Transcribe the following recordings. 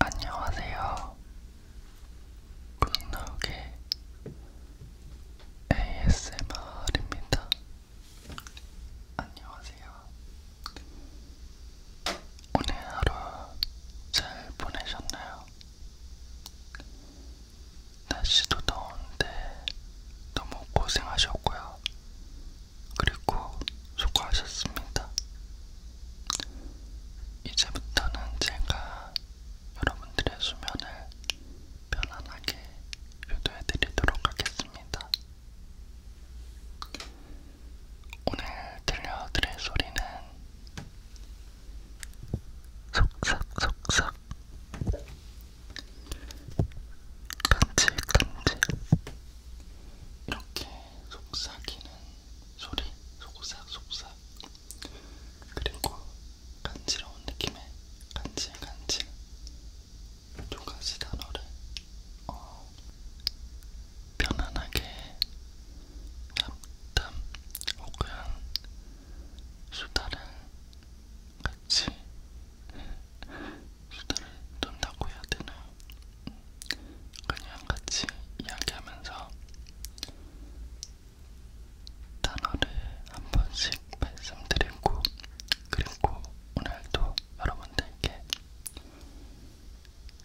안녕하세요. 굿나욱의 ASMR입니다. 안녕하세요. 오늘 하루 잘 보내셨나요? 날씨도 더운데 너무 고생하셨고요. 그리고 수고하셨습니다. 이제부터는 제가 여러분들의 수면을 편안하게 유도해드리도록 하겠습니다. 오늘 들려드릴 소리는 속삭속삭 간질간질 이렇게 속삭이는 소리 속삭 속삭 그리고 간지러운 느낌의 간질간질 두 가지 단어를 어, 편안하게 담담 혹은 수다를 같이 수다를 떤다고 해야 되나요? 그냥 같이 이야기하면서 단어를 한 번씩 말씀드리고 그리고 오늘도 여러분들께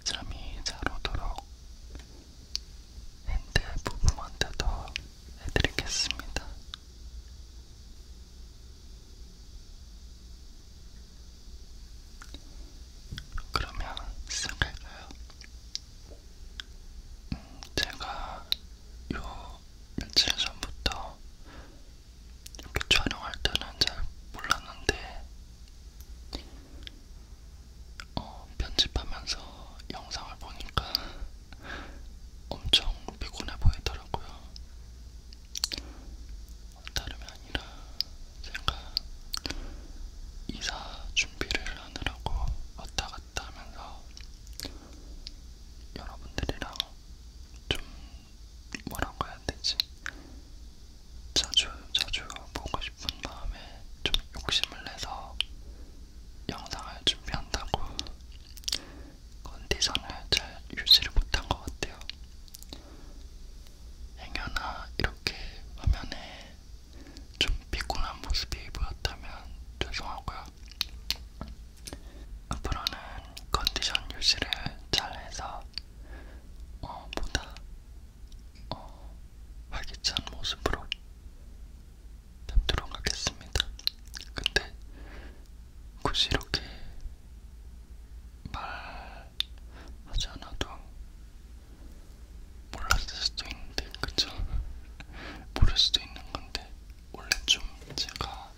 잠이 잘 오도록 핸드 부분먼트도 해드리겠습니다. 그러면 시작할까요? 음, 제가 요 며칠 전부터 이렇게 촬영할 때는 잘 몰랐는데 어, 편집하면서 영상을 보니까 엄청 피곤해 보이더라고요. 다름이 아니라 제가 이사 준비를 하느라고 왔다 갔다 하면서 여러분들이랑 좀 뭐라고 해야 되지? 자주 자주 보고 싶은 마음에 좀 욕심을 내서 영상을 준비한다고 컨디션을 잘 유지를 못한 것 같아요. 행여나 이렇게 화면에 좀 피곤한 모습이 보였다면 죄송하고요. 앞으로는 컨디션 유지를 잘해서 어, 보다 어, 활기찬 모습으로 뵙도록 하겠습니다. 근데 굳이 이렇게 말하지 않아도 몰랐을 수도 있는데 그쵸? 모를 수도 있는 건데 원래 좀 제가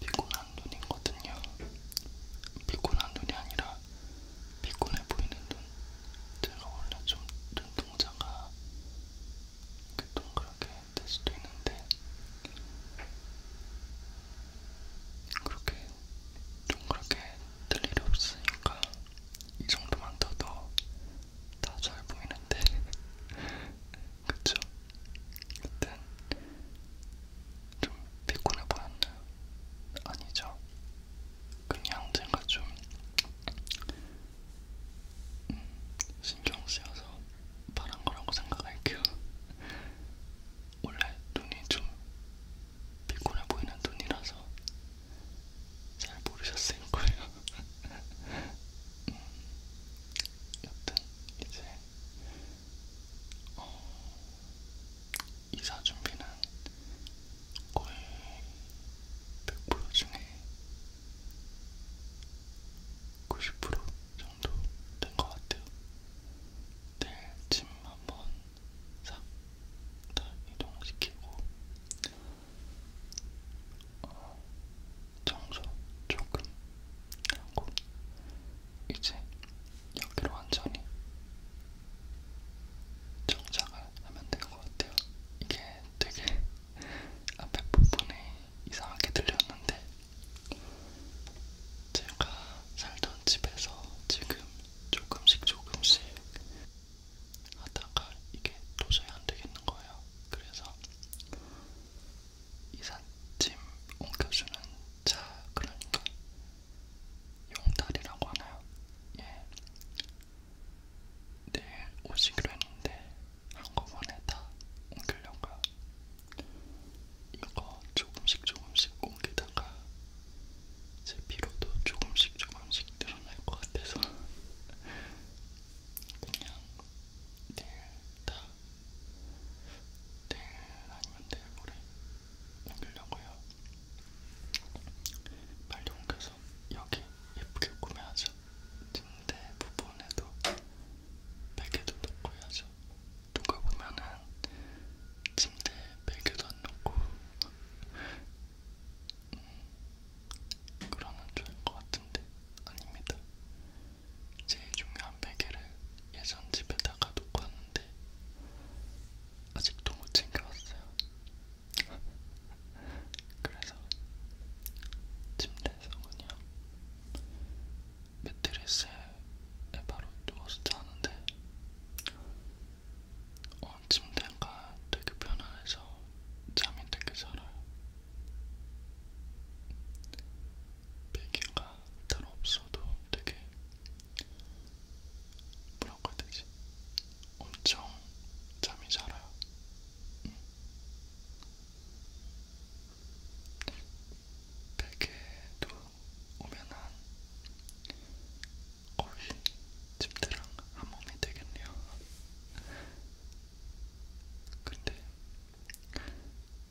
피곤한 눈이거든요. 피곤한 눈이 아니라 피곤해 보이는 눈. 제가 원래 좀 눈동자가 동그랗게 될 수도 있는데 그렇게 동그랗게 뜰 일이 없으니까 이 정도만 더도 다 잘 보이는데 그쵸? 일단 좀 피곤해 보였나요? 아니죠? 그냥 제가 좀 음, 신경 쓰여서 말한 거라고 생각할게요. 원래 눈이 좀 피곤해 보이는 눈이라서 잘 모르셨을 거예요. 음, 여튼 이제 어, 이사 준비는 거의 100% 중에 90% 정도 된 것 같아요. 내일 네, 짐 한번 싹다 이동시키고 어, 청소 조금 하고 이제 여기로 완전히 정착을 하면 될것 같아요. 이게 되게 앞에 부분이 이상하게 들렸는데 제가 살던 집에서 지금 조금씩 조금씩 하다가 이게 도저히 안 되겠는 거예요. 그래서 이삿짐 옮겨주는 차 그러니까 용달이라고 하나요? 예. 내일 오시기로 했는데 한꺼번에 다 옮기려고요. 이거 조금씩 조금씩 옮기다가 제 피로도 조금씩 조금씩 늘어날 것 같아서 그냥 내일다 내일 아니면 내일 모레 옮기려고요. 빨리 옮겨서 여기 예쁘게 꾸며야죠. 침대 부분에도 베개도 넣고 해야죠. 누가 보면은 침대 베개도 안 넣고 그러면 좋을 것 같은데 아닙니다. 제일 중요한 베개를 예전 집에다가 놓고 왔는데 아직도 못 챙겨왔어요. 그래서 침대에서 그냥 매트리스에 바로 누워서 자는데 어, 침대가 되게 편안해서 잠이 되게 잘 와요. 베개가 따로 없어도 되게 뭐라고 해야 되지? 엄청 잠이 잘 와요. 응. 음. 베개도 오면 한 거의 침대랑 한 몸이 되겠네요. 근데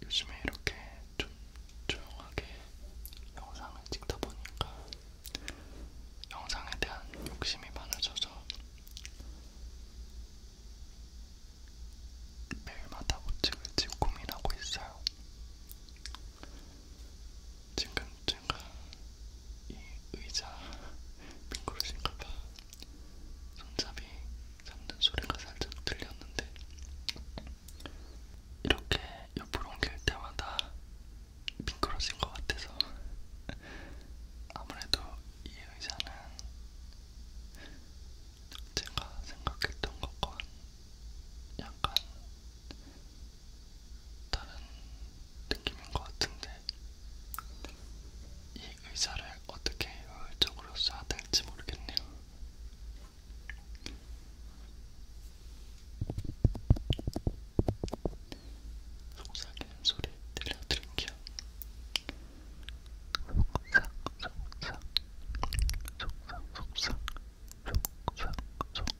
요즘에 이렇게 좀 조용하게 영상을 찍다 보니까 영상에 대한 욕심이 많아져서 매일마다 못 찍을지 고민하고 있어요. 지금 제가 이 의자 미끄러진가봐 손잡이 잡는 소리가 살짝 들렸는데 이렇게 옆으로 옮길 때마다 미끄러진 것 같아서 아무래도 이 의자는 제가 생각했던 것과 약간 다른 느낌인 것 같은데 이 의자를 어떻게 효율적으로 써야 될지 모르겠네요. 속삭이는 소리 들려드릴게요. 속삭 속삭 속삭 속삭 속삭 속삭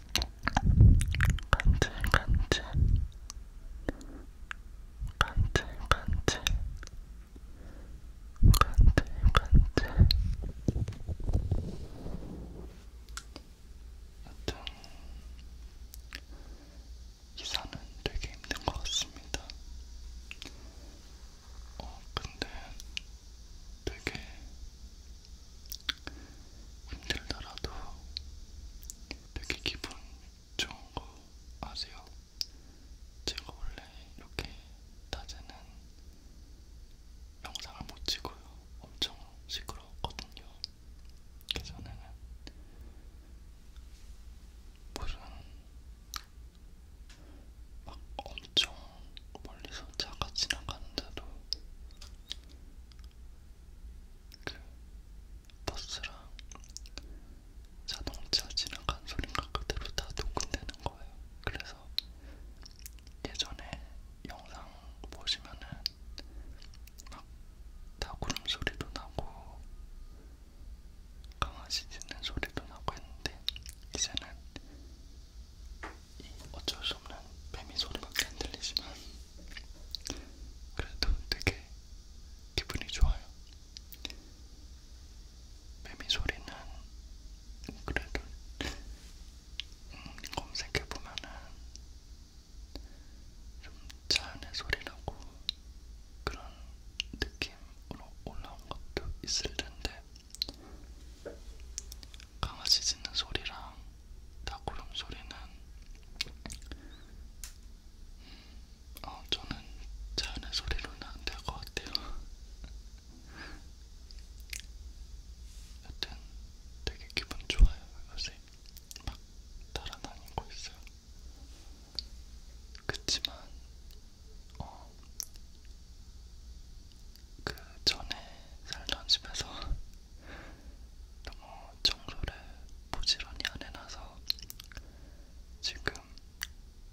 간질 간질 간질 간질 간질 간질 여튼 이사는 되게 힘든 것 같습니다. 어 근데 되게 힘들더라도 되게 기분 좋은 거 아세요? 제가 원래 이렇게 낮에는 영상을 못 찍어요. 엄청 시끄러웠거든요. 예전에는 무슨 막 엄청 멀리서 차가 지나가는데도 그 버스랑 자동차 지나간 소리가 그대로 다 녹음되는 거예요. 그래서 예전에 영상 보시면은 막다 구름 소리도 나고 강아지 짖는 소리도 나고 했는데 이제는 이 어쩔 수 없는 뱀이 소리밖에 안 들리지만 그래도 되게 기분이 좋아요. 매미 소리는 그래도 음, 검색해 보면은 좀차 안의 소리라고 그런 느낌으로 올라온 것도 있을 텐데 강아지 짖는 소리랑 닭고름 소리는 음, 어, 저는 자연의 소리로는 안 될 것 같아요. 여튼 되게 기분 좋아요. 요새 막 따라다니고 있어요. 그치만 어, 그 전에 살던 집에서 너무 청소를 부지런히 안 해놔서 지금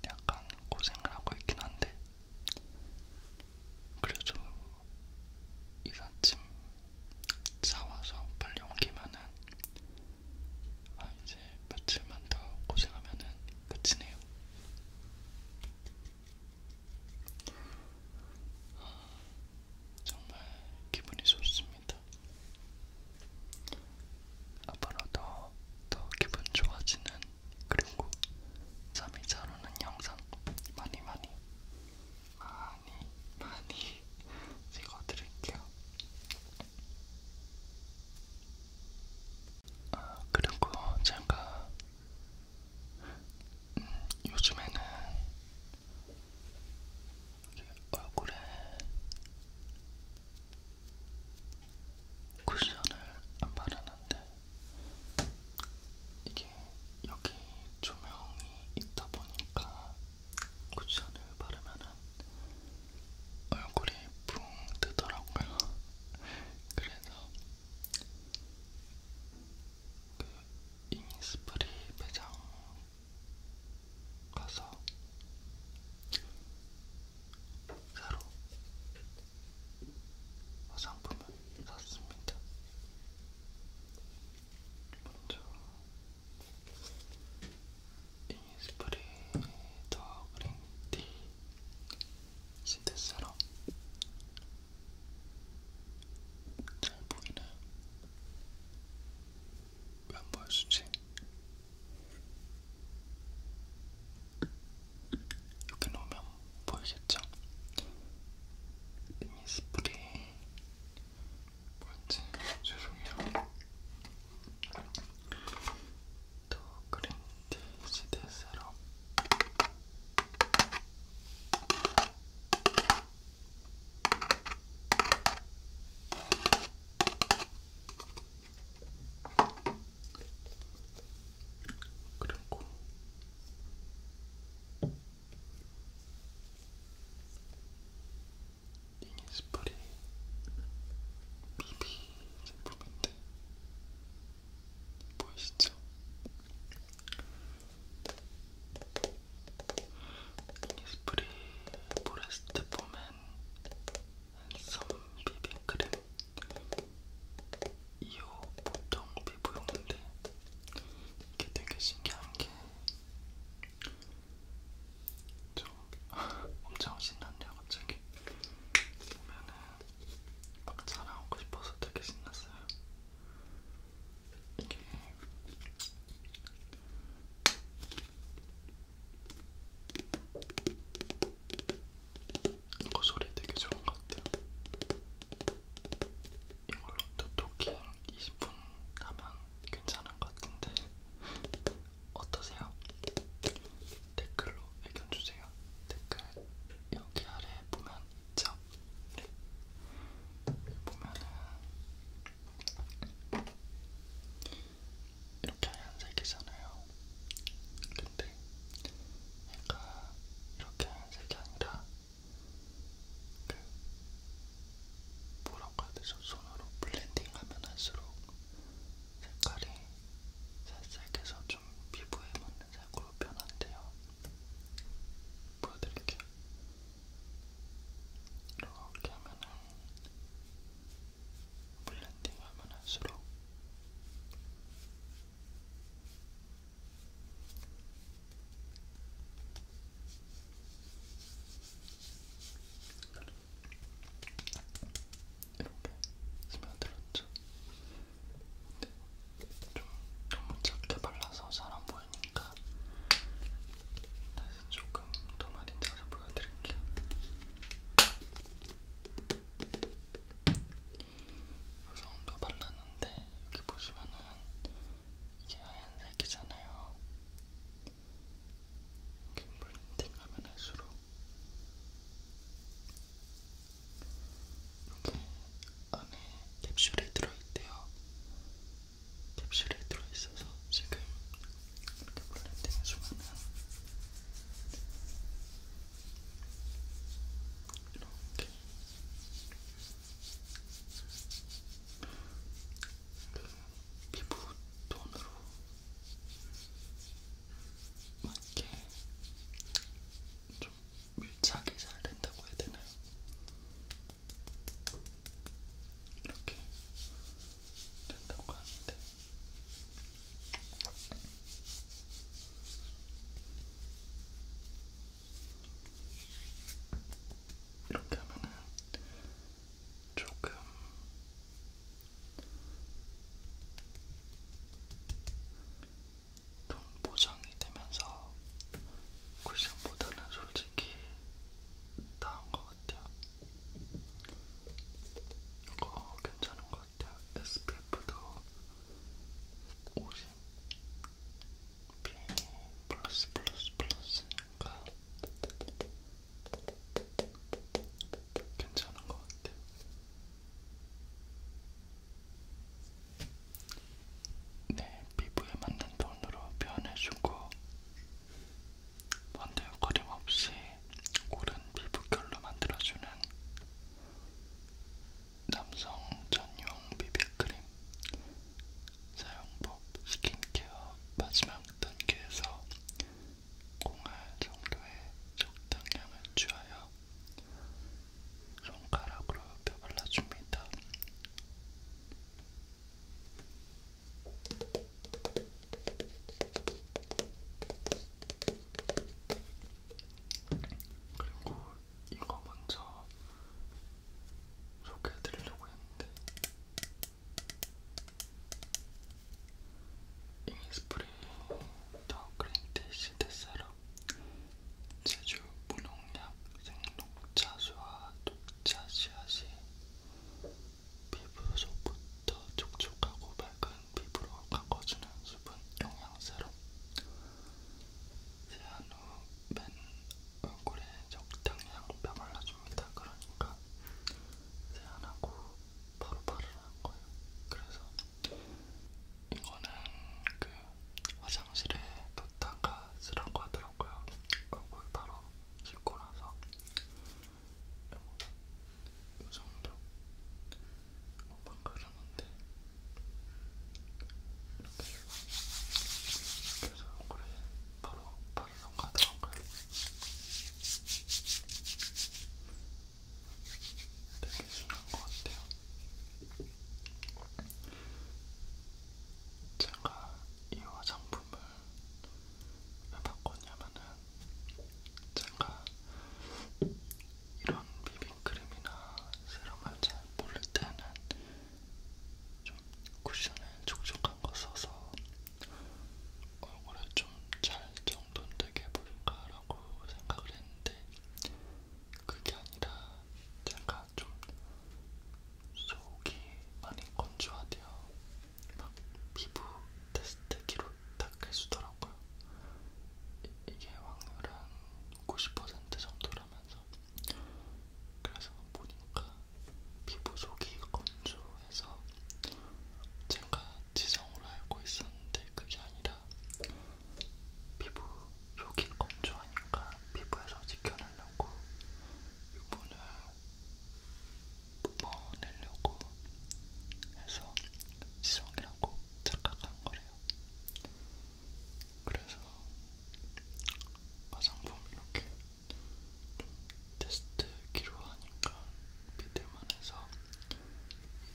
약간 고생을 하고 있긴 한데 그래도 이삿짐 사와서 빨리 옮기면은 아 이제 며칠만 더 고생하면은 끝이네요. 정말 기분이 좋습니다. 앞으로도 더 기분 좋아지는 그리고 잠이 잘 오는 영상 많이 많이 많이 많이 찍어드릴게요. 아, 그리고 제가 요즘에는 얼굴에 쿠션을 안 바르는데 이게 여기 조명이 있다 보니까 쿠션을 바르면은 얼굴이 붕 뜨더라고요. 그래서 그 이니스프리 매장 가서 새로 화장품을 샀습니다. 먼저 이니스프리 더 그린티 신데스럼 잘 보이나요? 왜안 보여주지? 이렇게 놓으면 보이겠죠? 이 스프레이 뭔지 죄송해요. 더 그린티 시대 세럼 그리고 이니스프리 비비 제품인데 보이시죠? 뭐 이니스프리 포레스트 포맨 앤썸 비비크림 2호 보통 피부용인데 이게 되게 신기한 게좀 엄청 신났네요 갑자기 보면은 막 자랑하고 싶어서 되게 신났어요 이게 이거 그 소리 되게 좋은 것 같아요. 이걸로 또 토킹 20분 하면 괜찮은 것 같은데 어떠세요? 댓글로 의견 주세요. 댓글 여기 아래 보면 있죠? 네. 보면은 이렇게 하얀색이잖아요. 근데 얘가 이렇게 하얀색이 아니라 그 뭐라고 해야 되죠? 손으로 블렌딩하면 할수록 색깔이 살색해서 좀 피부에 맞는 색으로 변한대요. 보여드릴게요. 이렇게 하면은 블렌딩 하면 할수록 이렇게 스며들었죠. 근데 좀 너무 작게 발라서 잘안 보여. 보이니까 다시 조금 더 많이 짜서 보여드릴게요. 무성도 발랐는데 여기 보시면은 이게 하얀색이잖아요. 블렌딩하면 할수록 이렇게 안에 캡슐이 들어있대요. 캡슐에 들어있어서 지금 이렇게 블렌딩 해주면은 이렇게 그 피부 톤으로 맞게 좀 밀착이 잘 된다고 해야 되나요? 이렇게 된다고 하는데 이렇게 하면은 조금 좀 보정이 되면서 쿠션보다는 솔직히 나은 것 같아요. 이거 괜찮은 것 같아요. SPF도 50 B 플러스 플러스 플러스니까 괜찮은 것 같아요. 내 네, 피부에 맞는 톤으로 표현해주고 번들거림 없이 고른 피부결로 만들어주는 남성 전용 비비크림 사용법 스킨케어 마지막 단계에서 공알 정도의 적당량을 주하여 손가락으로 펴발라줍니다. 그리고 이거 먼저 소개해드리려고 했는데 이니스프리 더 그린티시 데사라 제주 무농약 생녹차수와 녹차 씨앗이 피부 속부터 촉촉하고 맑은 피부로 가꿔주는 수분 영양 세럼 세안 후 맨 얼굴에 적당히 양배 발라줍니다. 그러니까 세안하고 바로 바르는 거예요. 그래서 이거는 그 화장실에 놓다가 쓰라고 하더라고요. 얼굴 바로 씻고 나서 이 정도 한번 그렸는데 이렇게 그래서 그래 바로 바르러 가더라고요. 되게 순한 것 같아요. 제가 이 화장품 제품을 왜 바꿨냐면은 제가 이런 비빔크림이나 세럼을 잘 모를 때는 좀 쿠션에 촉촉한 거 써서 얼굴에 좀 잘 정돈되게 해볼까라고 생각을 했는데 그게 아니라 제가 좀 속이 많이 건조하대요. 막 피부 테스트기로 딱 해주더라고요. 이, 이게 확률은 90% 정도라면서 그래서 보니까 피부 속이 건조해서 제가 지성으로 알고 있었는데 그게 아니라 피부 속이 건조하니까 피부에서 지켜내려고 유분을 뻔내려고 뭐 해서 지성이라고 착각한 거래요. 그래서 화장품 이렇게 테스트 기로하니까 믿을만 해서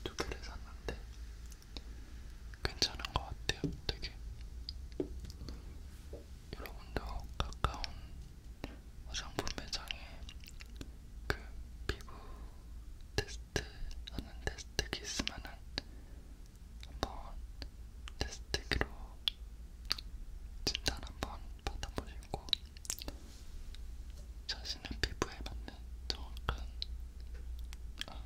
두 개를 샀는데 괜찮은 것 같아요. 되게 여러분도 가까운 화장품 매장에 그 피부 테스트 하는 테스트기 있으면은 한번 테스트기로 진단 한번 받아보시고 자신의 피부에 맞는 정확한 아,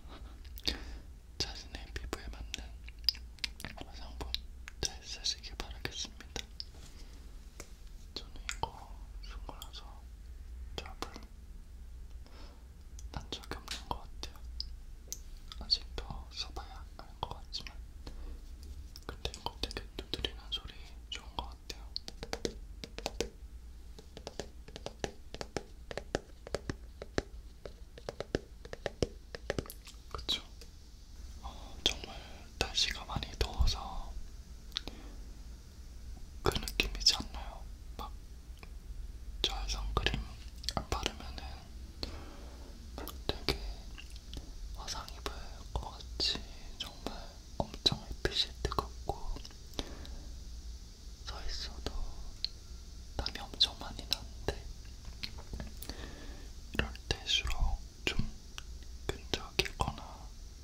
자신의 피부에 맞는 화장품 잘 쓰시길 바라겠습니다. 저는 이거 쓰고 나서 잡을 난 적이 없는 것 같아요. 아직도 써봐야 알 것 같지만 근데 이거 되게 두드리는 소리 좋은 것 같아요. 그쵸? 어, 정말 날씨가 많이 더워서 그 느낌이지 않나요? 막 저의 선크림 안 바르면은 되게 화상 입을 것 같이 정말 엄청 햇빛이 뜨겁고 서 있어도 땀이 엄청 많이 나는데 이럴 때일수록 좀 끈적이거나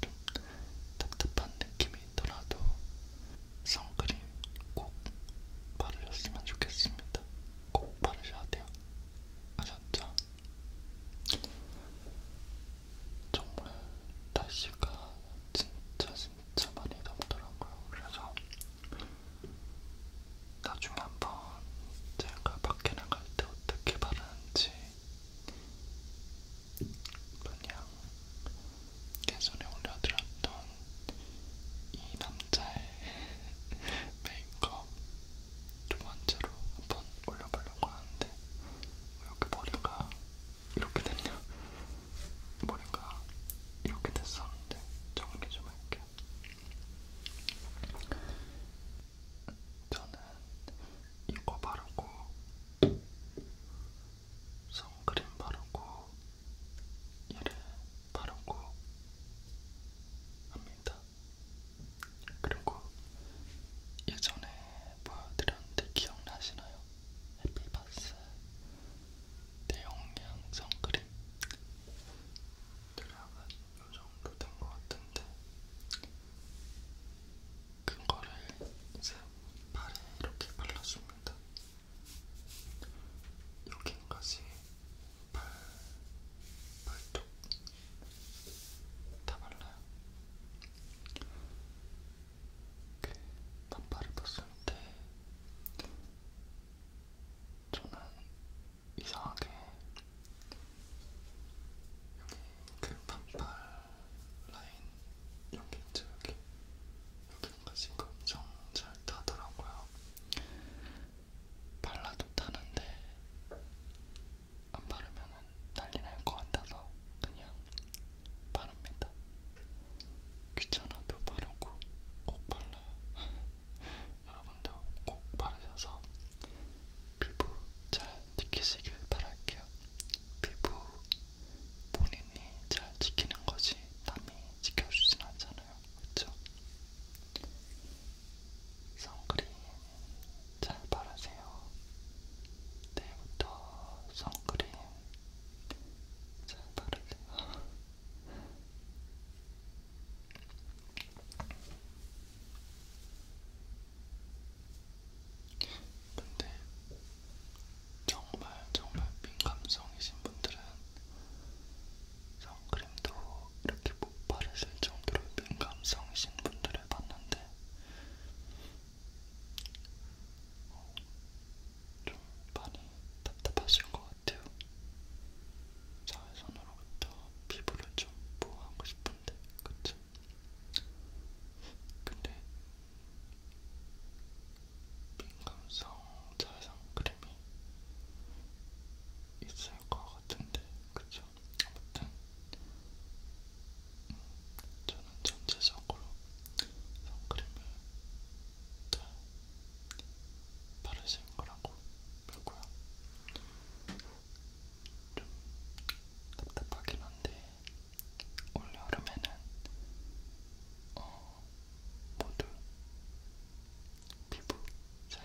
좀 답답한 느낌이 있더라도 선크림 꼭 바르셨으면 좋겠습니다. 꼭 바르셔야 돼요. 아셨죠? 정말 날씨가 진짜 진짜 많이 덥더라고요. 그래서 나중에 한번 어, 제가 밖에 나갈 때 어떻게 바르는지 그냥 예전에 올려드렸던 이 남자의 메이크업 두 번째로 한번 올려보려고 하는데 왜 이렇게 머리가 이렇게 됐냐? 머리가 이렇게 됐었는데 정리 좀 할게요. 저는 이거 바르고 선크림 바르고 얘를 바르고 합니다. 그리고 예전에 보여드렸는데 기억나시나요? 해피바스 대용량 선크림 여러분 요정도 된 것 같은데 그거를 이제 발에 이렇게 발라줍니다. 여기까지 발, 발톱 다 발라요. 그 반팔을 벗을 때 저는 이상하게 여기 그 반팔 라인 여기 있죠 여기 여기까지 엄청 잘 타더라고요. 발라도 타는데 안 바르면 난리 날것 같아서 그냥 바릅니다. 귀찮아도 바르고 꼭 발라요. 여러분도 꼭 바르셔서 피부 잘 지키시길 바랄게요. 피부 본인이 잘 지키는 거지 남이 지켜주진 않잖아요. 그쵸? 선크림 잘 바르세요. 내일부터 선크림 잘 바르세요. 근데 정말 정말 민감성이신 분들은 선크림도 이렇게 못 바르실 정도로 민감성이신 분들을 봤는데 어, 좀 많이 답답하실 것 같아요. 자외선으로부터 피부를 좀 보호하고 싶은데, 그쵸? 근데 민감성 자외선 크림이 있을 것 같은데 그쵸? 아무튼 음, 저는 전체적으로 선크림을 다 바르신 거라고 믿고요. 좀 답답하긴 한데 올여름에는 어, 모두 피부 잘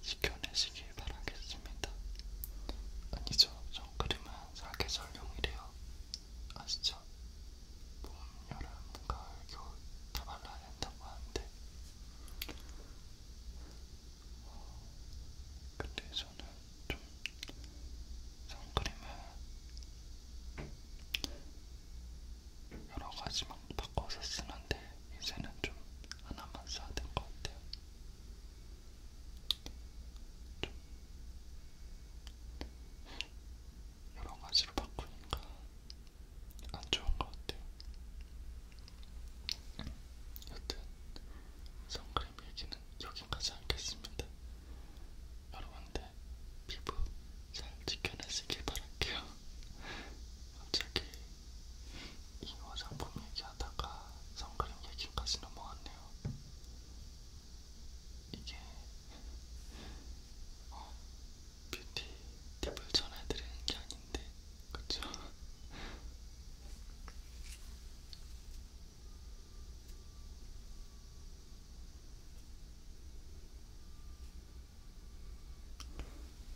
지켜내시길 바라겠습니다. 아니죠, 선크림은 사계절용이래요. 아시죠? 봄, 여름, 가을, 겨울 다 발라야 된다고 하는데 근데 저는 좀 선크림을 여러 가지 막 바꿔서 쓰는데 이제는 좀 하나만 써야 될 것 같아요. 좀 여러 가지로 바꾸니까 안 좋은 것 같아요. 여튼 선크림 얘기는 여기까지 하겠습니다. 여러분들 피부 잘 지켜내시길 바랄게요. 갑자기 이 화장품 얘기하다가 선크림 얘기까지 넘어왔네요. 이게 어, 뷰티 팁을 전해드리는 게 아닌데 그쵸?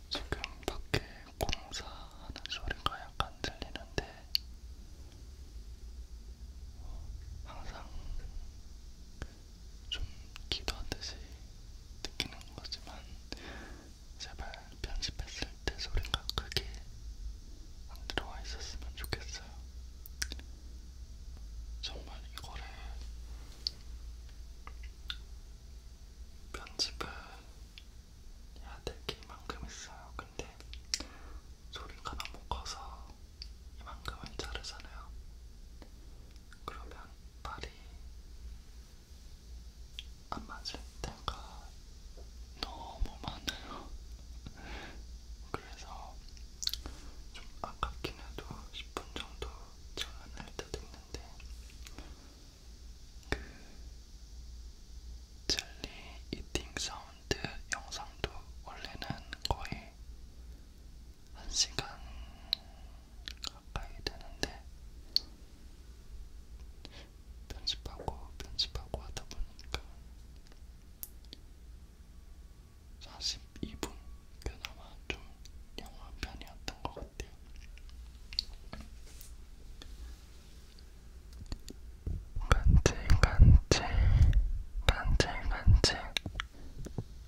지금 밖에 공사하는 소리가 약간 들리는데 항상 좀 기도하듯이 느끼는 거지만 제발 편집했을 때 소리가 크게 안 들어와 있었으면 좋겠어요. 정말 이거를 편집을 해야 될게 이만큼 있어요. 근데 소리가 너무 커서 이만큼은 자르잖아요. 그러면 발이 안 맞을 때가 너무 많아요. 그래서 좀 아깝긴 해도 10분 정도 장난할 때도 있는데 그 젤리 이팅 사운드 영상도 원래는 거의 1시간 가까이 되는데 편집하고 편집하고 하다 보니까 42분 그나마 좀 영화 편이었던 것 같아요. 간질 간질 간질 간질 간질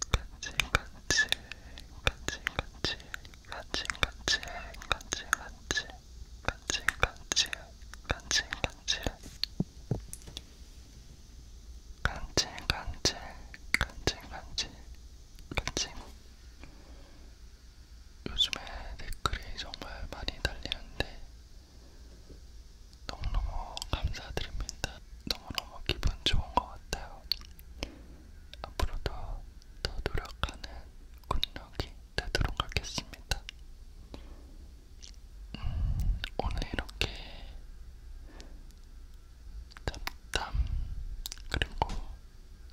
간질 간질 간질 간질 간질 간질 간질 간질 간질 간질 간질 간질 간질 간질 간질 간질 요즘에 댓글이 정말 많이 달리는데 너무너무 감사드립니다. 너무너무 기분 좋은 것 같아요. 앞으로도 더 노력하는 군락이 되도록 하겠습니다. 음, 오늘 이렇게 잡담 그리고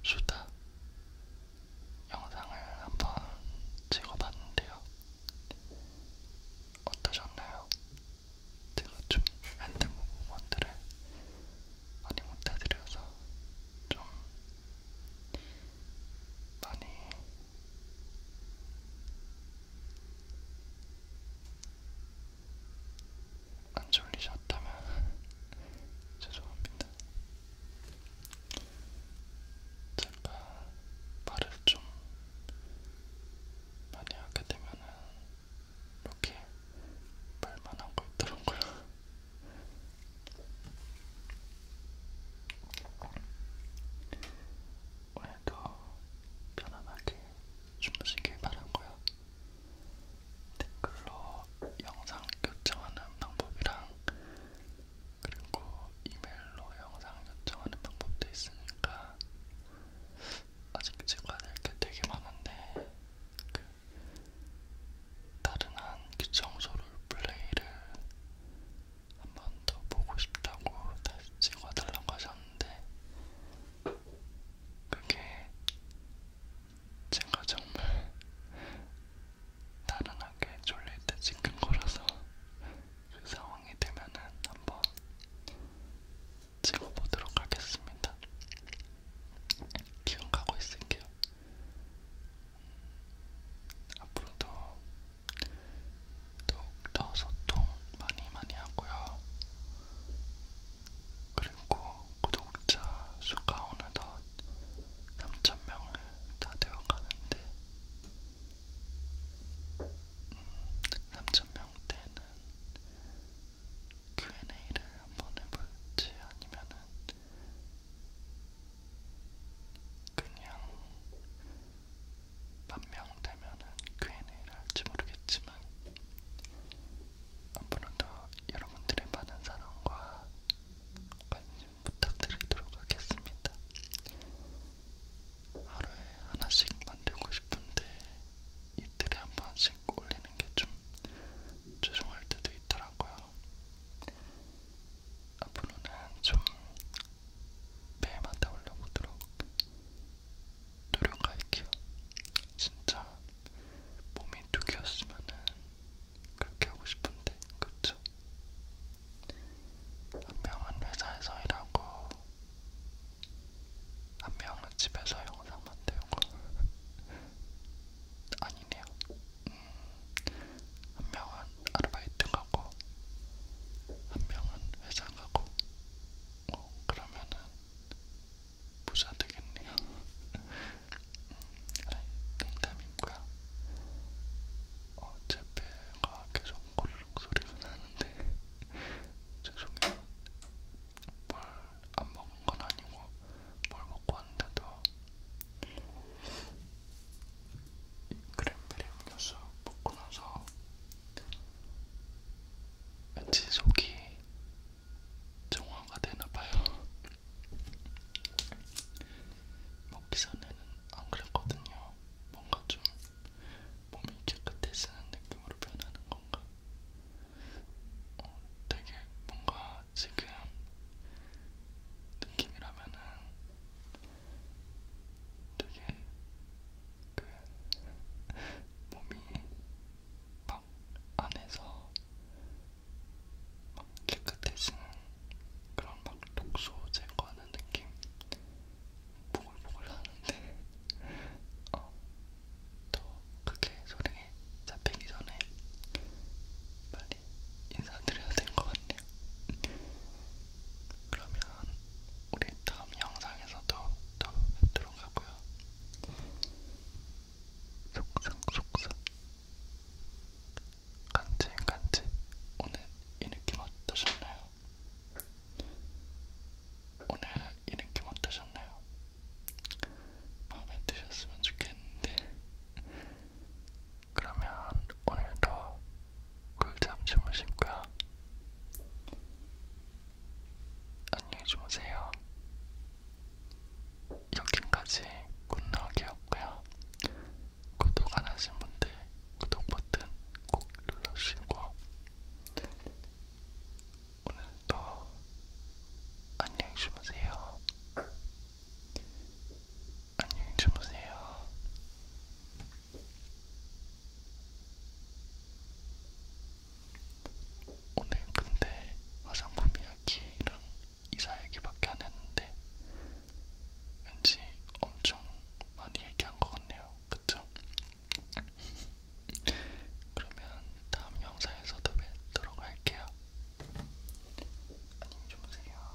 수다 영상을 한번 찍어봤는데요. 어떠셨나요? 제가 좀 핸드폰 부분들을 많이 못해드려서 좀 많이 안 졸리셨다면 죄송합니다. 제가 말을 좀 많이 하게 되면은 이렇게 말만 하고 있더라고요. 오늘도 편안하게 주무시길 바라고요. 댓글로 영상 요청하는 방법이랑 그리고 이메일로 영상 요청하는 방법도 있으니까 아직 찍어야 될 게 되게 많은데 그 다른 한 귀청소를 플레이를 한번더 보고 싶다고 다시 찍어달라고 하셨는데 그게 제가 정말 다른 학교에 졸릴 때 찍은 거라서 그 상황이 되면은 한번 찍어보도록 하겠습니다. 기억하고 있을게요. 음, 앞으로도 더욱더 소통 많이 많이 하고요. 그리고 구독자 수가 오늘덧 3,000명을 다 되어 가는데, 음, 3,000명 때는 Q&A를 한번 해볼지 아니면은 그냥 몇명 되면은 Q&A를 할지 모르겠지만 앞으로도 여러분들의 많은 사랑과 관심 부탁드리도록 하겠습니다. 하루에 하나씩 만들고 싶은데 이틀에 한 번씩 올리는 게 좀 죄송할 때도 있더라고요. 앞으로는 좀 매일마다 올려보도록 노력할게요. 진짜 몸이 두 개였으면은 그렇게 하고 싶은데, 그쵸? 한 명은 회사에서 일하고, 한 명은 집에서 영상 만들고, 아니네요. 음, 한 명은 아르바이트 가고 한 명은 회사 가고 어, 그러면은 부자 되겠네요. 아니 농담이고요. 어차피가 계속 고르륵 소리가 나는데 죄송해요. 뭘 안 먹은 건 아니고 뭘 먹고 왔는데도 크랜베리 음료수 먹고 나서 왠지 속이 정화가 되나봐요. 먹기 전에는 안 그랬거든요. 뭔가 좀 몸이 깨끗해지는 느낌으로 변하는 건가? 어, 되게 뭔가 지금 느낌이라면은 되게 그 몸이 막 안에서 막 깨끗해지는 그런 막 독소 제거하는 느낌 보글보글 하는데 어, 더 그게 소리에 잡히기 전에 빨리 인사드려야 될 것 같네요. 그러면 우리 다음 영상에서도 또 들어가고요. 속상 속상 간지 간지 오늘 이 느낌 어떠셨나요? 오늘 이 느낌 어떠셨나요? 마음에 드셨으면 좋겠는데 그러면 오늘도 꿀잠 주무시고요. 안녕히 주무세요. 여기까지 굿나기였고요. 구독 안 하신 분들 구독 버튼 꼭 눌러주시고 오늘도 안녕히 주무세요. 안녕히 주무세요. 오늘 근데 화장품 이야기랑 이사 얘기밖에 안 했는데 왠지 엄청 많이 얘기한 것 같네요. 그쵸? 그러면 다음 영상에서도 뵙도록 할게요. 안녕히 주무세요.